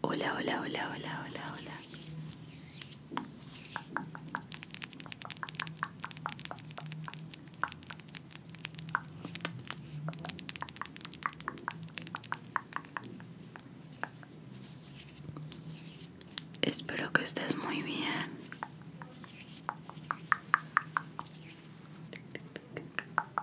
Hola, hola, hola, hola, hola, hola. Espero que estés muy bien.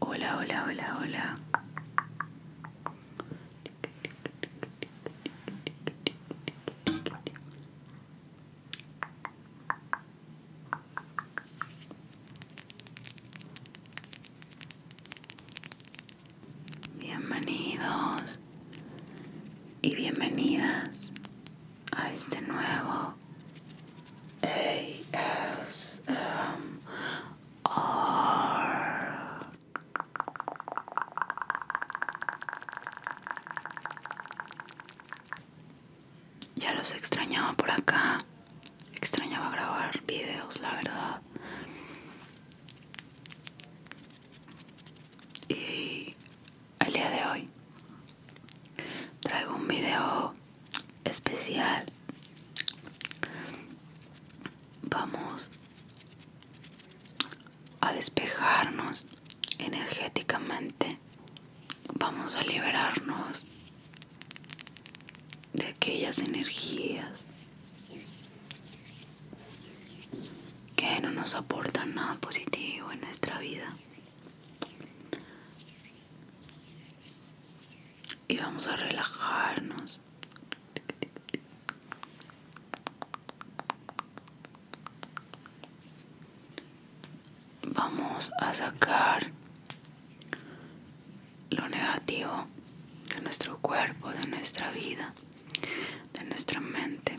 Hola, hola, hola, hola. Bienvenidos y bienvenidas a este nuevo ASMR ya los extrañaba por acá. Extrañaba grabar videos, la verdad. Y el día de hoy traigo un video especial vamos a despejarnos energéticamente vamos a liberarnos de aquellas energías que no nos aportan nada positivo en nuestra vida y vamos a relajarnos vamos a sacar lo negativo de nuestro cuerpo de nuestra vida de nuestra mente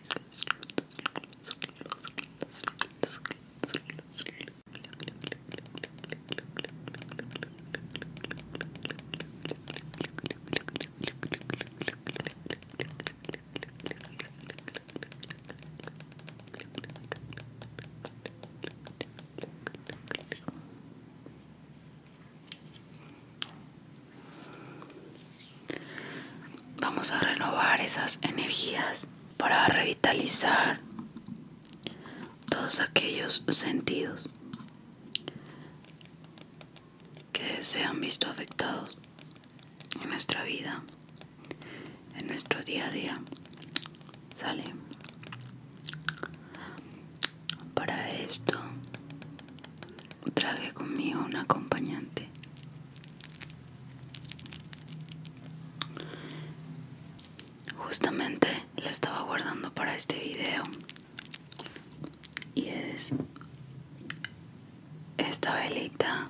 Vamos a renovar esas energías para revitalizar todos aquellos sentidos que se han visto afectados en nuestra vida, en nuestro día a día. Sale. Para esto traje conmigo un acompañante Justamente la estaba guardando para este video. Y es esta velita.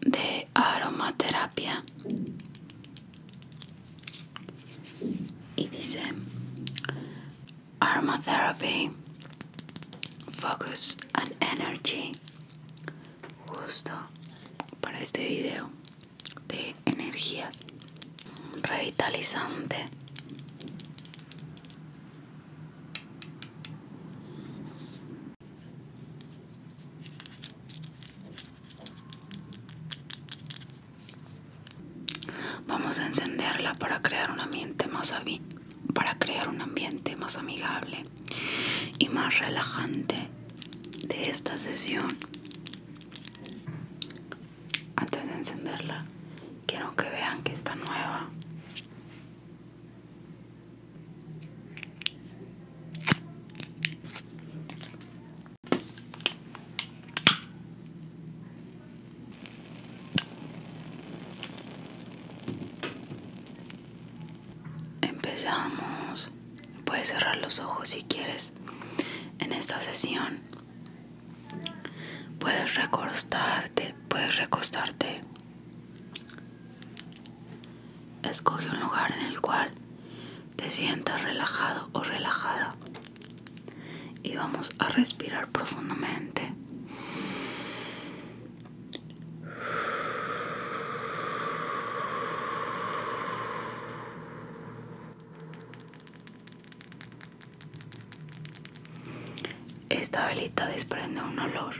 de aromaterapia y dice aromatherapy focus and energy justo para este video de energías revitalizante Vamos a encenderla para crear un ambiente más para crear un ambiente más amigable y más relajante de esta sesión. Antes de encenderla, quiero que vean que está nueva. Empezamos. Puedes cerrar los ojos si quieres. En esta sesión puedes recostarte, puedes recostarte Escoge un lugar en el cual te sientas relajado o relajada y vamos a respirar profundamente. Esta velita desprende un olor.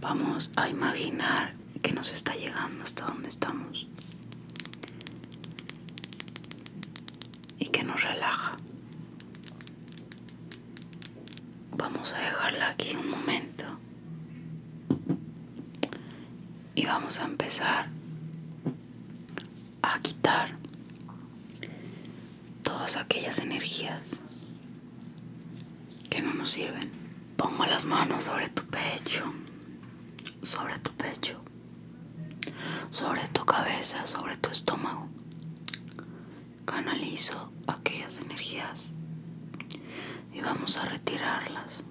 Vamos a imaginar que nos está llegando hasta donde estamos y que nos relaja. Vamos a dejarla aquí un momento y vamos a empezar a quitar todas aquellas energías que no nos sirven. Pongo las manos sobre tu pecho, sobre tu pecho, sobre tu cabeza, sobre tu estómago. Canalizo aquellas energías y vamos a retirarlas.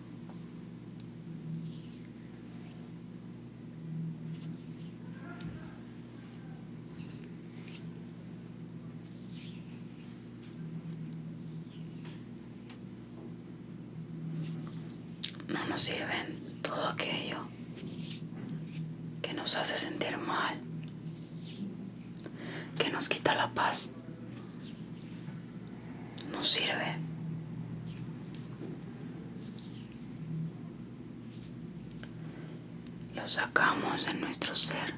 No nos sirven todo aquello que nos hace sentir mal, que nos quita la paz. No sirve. Lo sacamos de nuestro ser.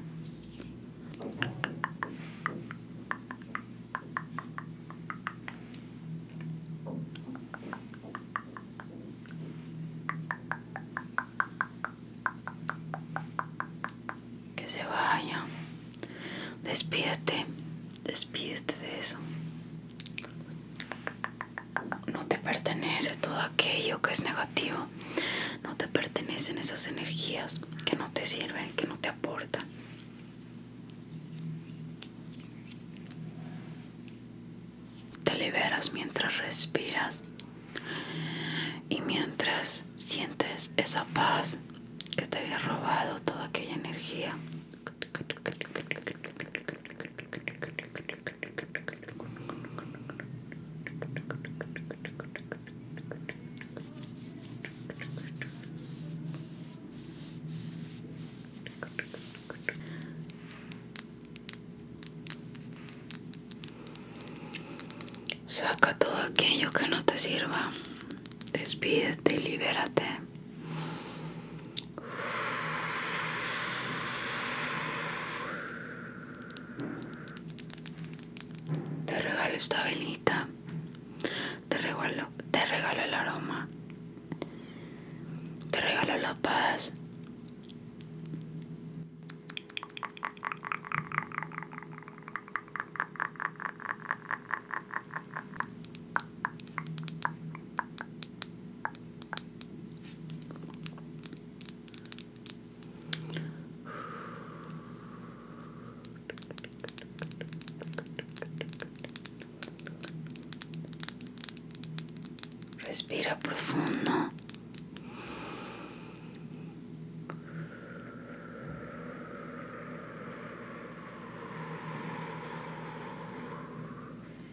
Que se vaya. Despídete, despídete de eso no te pertenece todo aquello que es negativo, no te pertenecen esas energías que no te sirven, que no te aportan. Te liberas mientras respiras y mientras sientes esa paz que te había robado toda aquella energía Saca todo aquello que no te sirva. Despídete y libérate. Te regalo esta velita. Te regalo, te regalo el aroma. Te regalo la paz. Respira profundo.